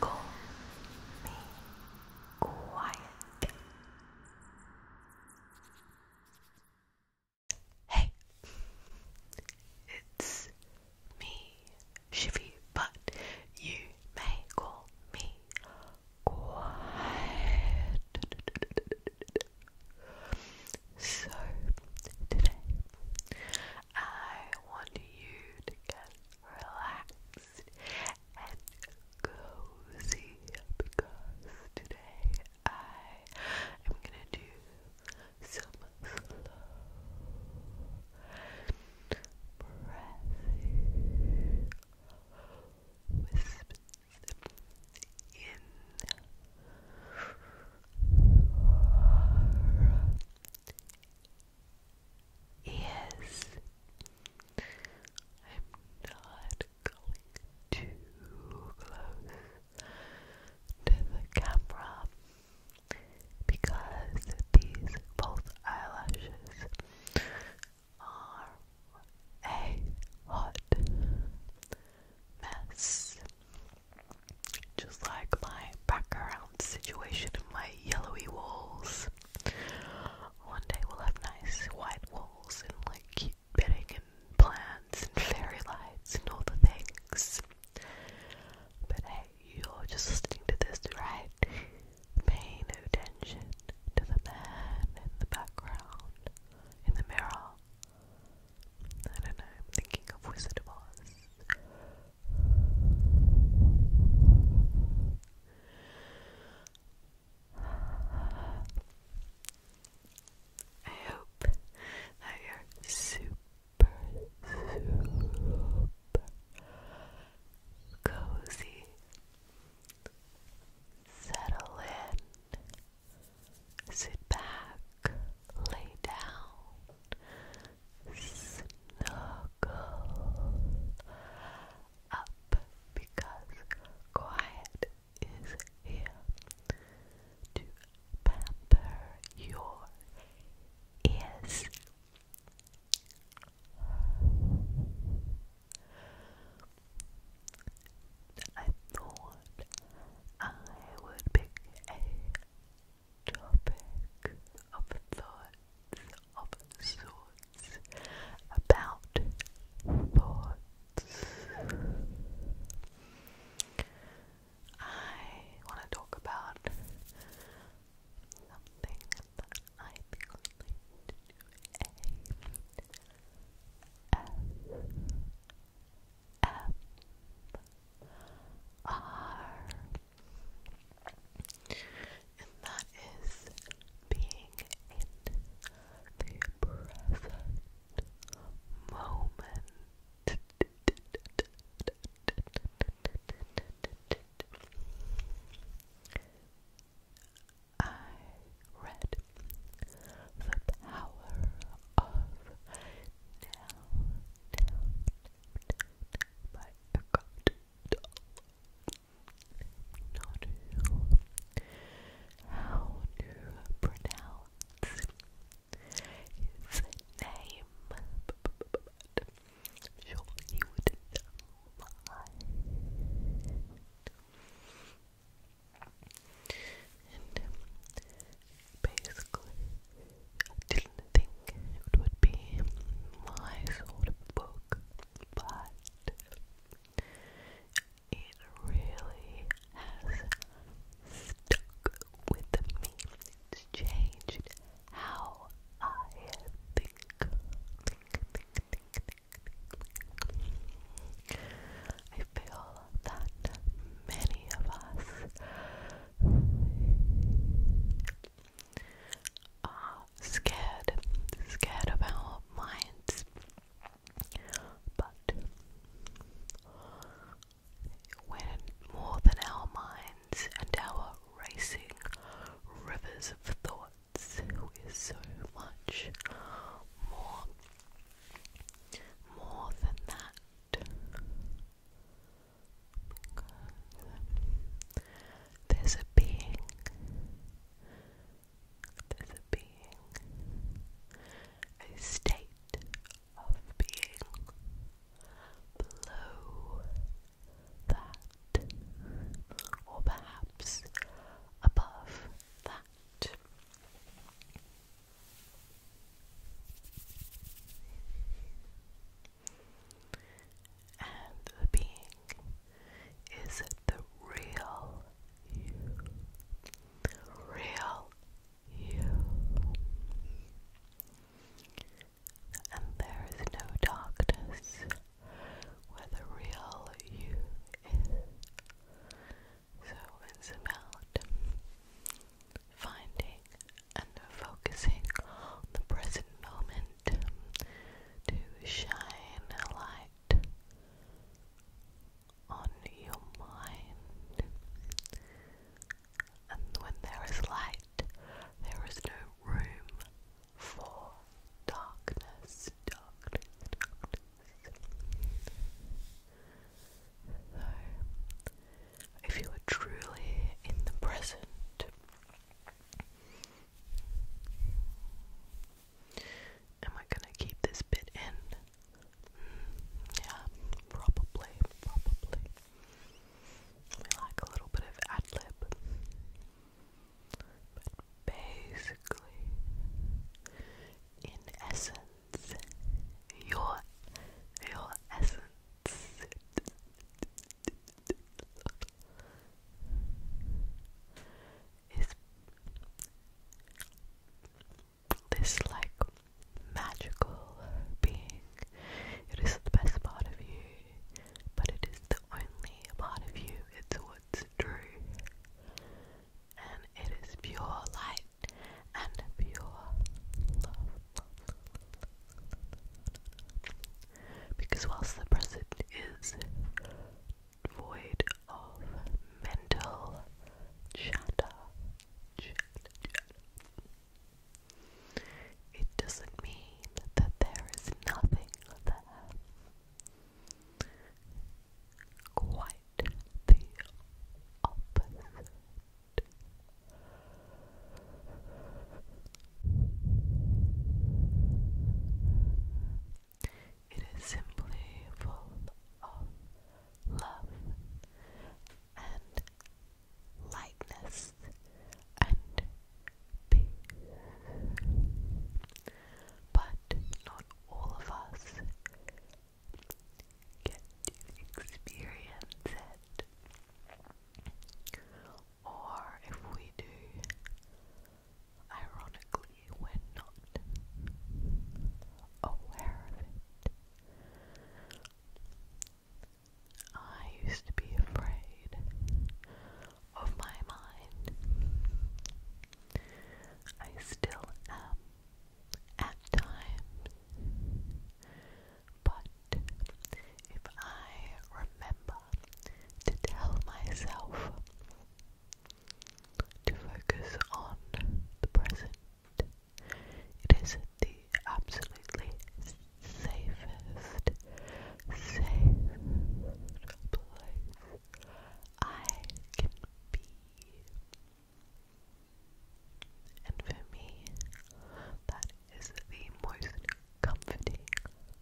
Call me quiet. Hey, it's me, Shivy, but you may call me quiet. So, today I want you to get relaxed and cozy because today I am gonna do some slow breathing Yes, I'm not going too close to the camera because these false eyelashes are a hot mess. Just like my background situation and my yellowy walls. One day we'll have nice white walls and like cute bedding and plants and fairy lights and all the things. But hey, you're just listening to this, right? Pay no attention to the man in the background, in the mirror, I don't know, I'm thinking of Wizard of Oz. I hope that you're super, super cozy. Settle in, sit back, lay down, snuggle up because quiet is here to pamper your ears. I thought I would pick a topic of thoughts of sorts about thoughts. I want to talk about something that I think relates to a F F R. And that is being in the present moment. I read The Power of down, down, down my how to pronounce his name, but he wouldn't mind basically, I didn't think it would be my sort of book, but it really has stuck with me. It's changed how I think. I feel that many of us are scared, scared of our minds. But when more than our minds and our racing rivers of thoughts, we're so much more, more than that there's a being, there's a being, a state of being below that, or perhaps above that. And the being is the real you, real you. And there is no darkness where the real you is. So it's finding and focusing on the present moment to shine a light on your mind. And when there is light, there is no room for darkness, if you are truly in the present. Am I gonna keep this bit in? Mm, yeah, probably, probably. We like a little bit of ad lib. But basically, in essence, your your essence is this like magical being. It is the best part of you, but it is the only part of you. It's what's true. And it is pure light and pure love. Because whilst the present is void of mental chatter, it doesn't mean that there is nothing there. Quite the opposite. It is simply full of love and lightness and peace. But not all of us get to experience it. Or if we do, ironically, we're not aware of it. I used to be afraid of my mind. I still am at times. But if I remember to tell myself to focus on the present, it is the absolutely safest, safe place I can be. And for me, that is the most comforting,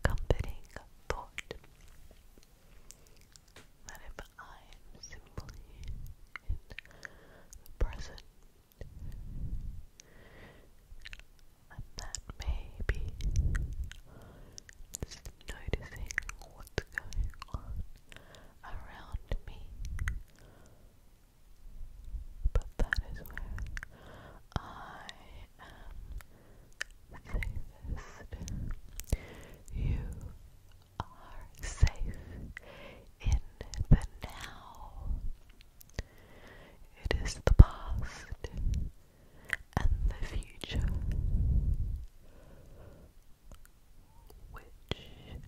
thought that if I am simply in the present, and maybe just noticing what's going on around me but that is where I am safest. You are safe in the now. It is the past and the future which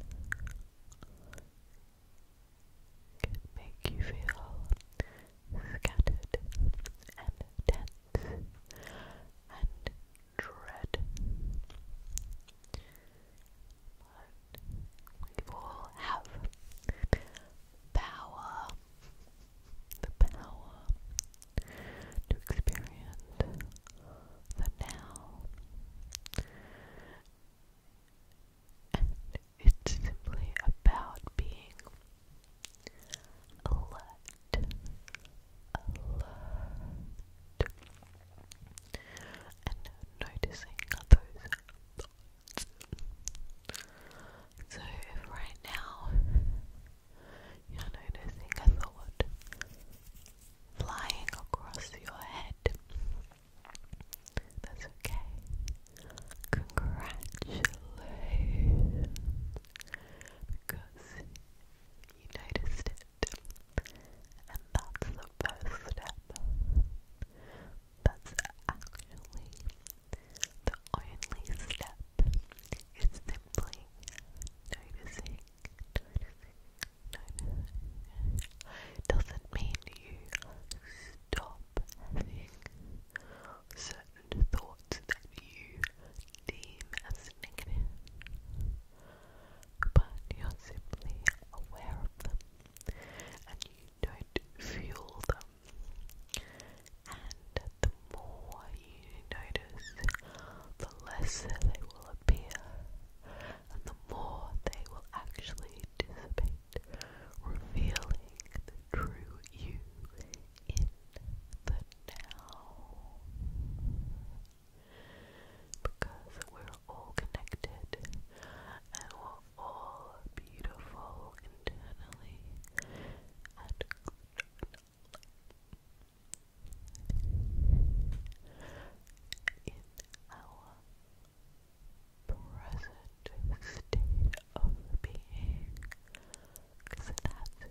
make you feel scattered and tense and dread. But we all have power, the power to experience the now it's simply about being alert, alert, and noticing those So, if right now you're noticing a thought flying across your head, that's okay. Congratulations. Because you noticed it. And that's the first step. That's actually the only step. It's simply noticing, doesn't mean you stop having certain thoughts that you deem as negative, but you're simply aware of them and you don't fuel them. And the more you notice, the less they will appear and the more they will actually dissipate, revealing the true you in the now. Because we're all connected and we're all beautiful internally and In our present state of being that's who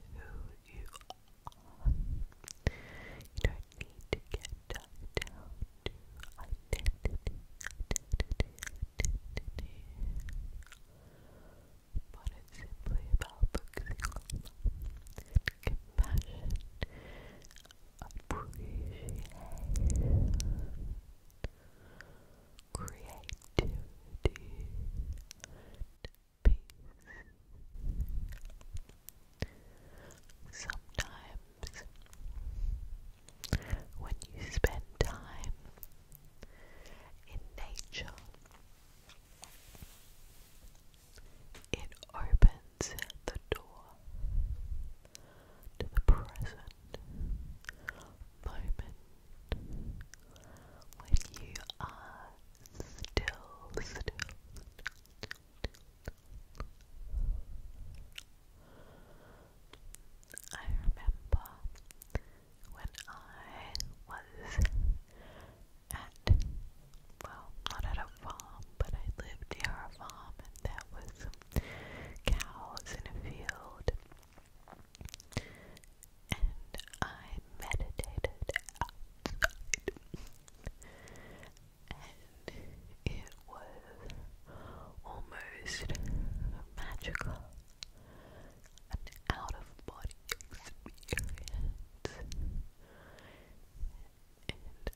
you are. You don't need to get down But it's simply about compassion appreciation, creativity, peace. Sometimes, when you spend time in nature, it opens the door the present moment when you are still, still. I remember when I was at well, not at a farm, but I lived near a farm and there was cows in a field. And I meditated And it was almost magical. An out of body experience. And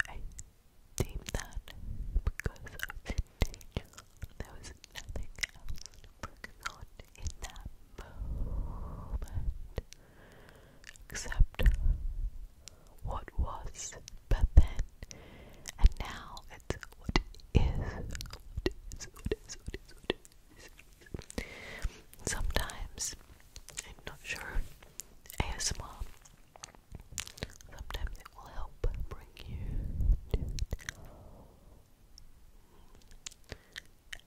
I name that because of the danger. There was nothing else going on in that moment except what was, but then, and now it's what is, what is, what is, what is, what is. Sometimes, I'm not sure, ASMR Sometimes it will help bring you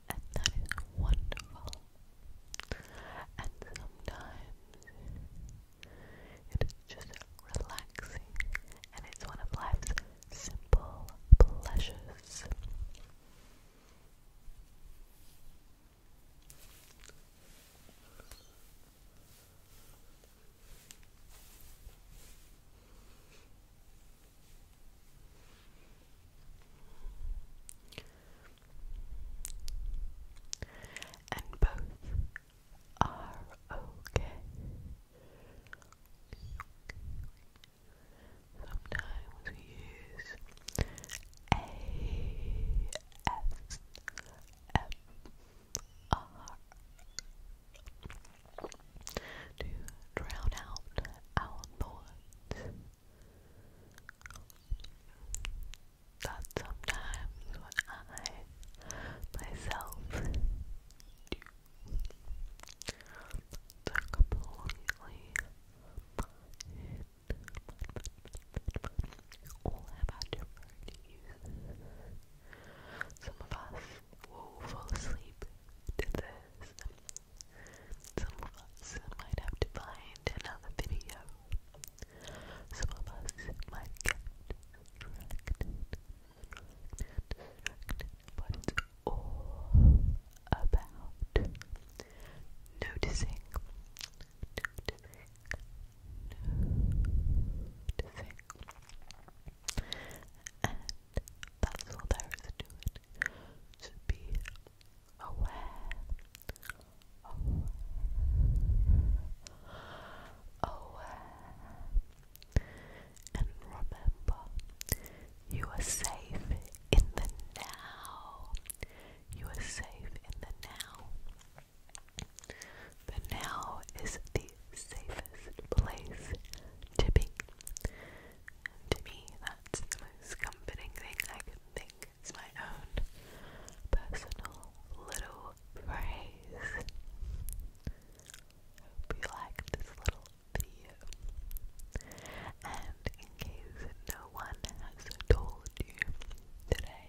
and that is wonderful. And sometimes it is just relaxing, and it's one of life's simple pleasures. And both are okay. Sometimes we use ASMR ASMR to drown out our thoughts that sometimes when I myself do completely all have our different Some of us will fall asleep to this. Some of us might have to find another video. Some of us might get distracted. But it's all about noticing and that's all there is to it. To be aware, aware, and remember you are safe in the now. You are safe in the now. But now is the safest place to be. to me, that's the most comforting thing I can think. It's my own personal little phrase. Hope you liked this little video. And in case no one has told you today,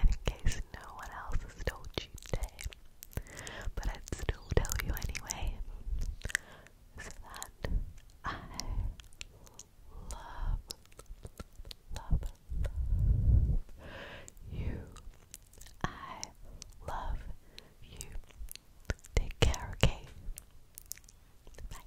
And in case no one else has told you today, but I'd still tell you anyway, is that I love, love you. I love you. Take care, okay? Bye.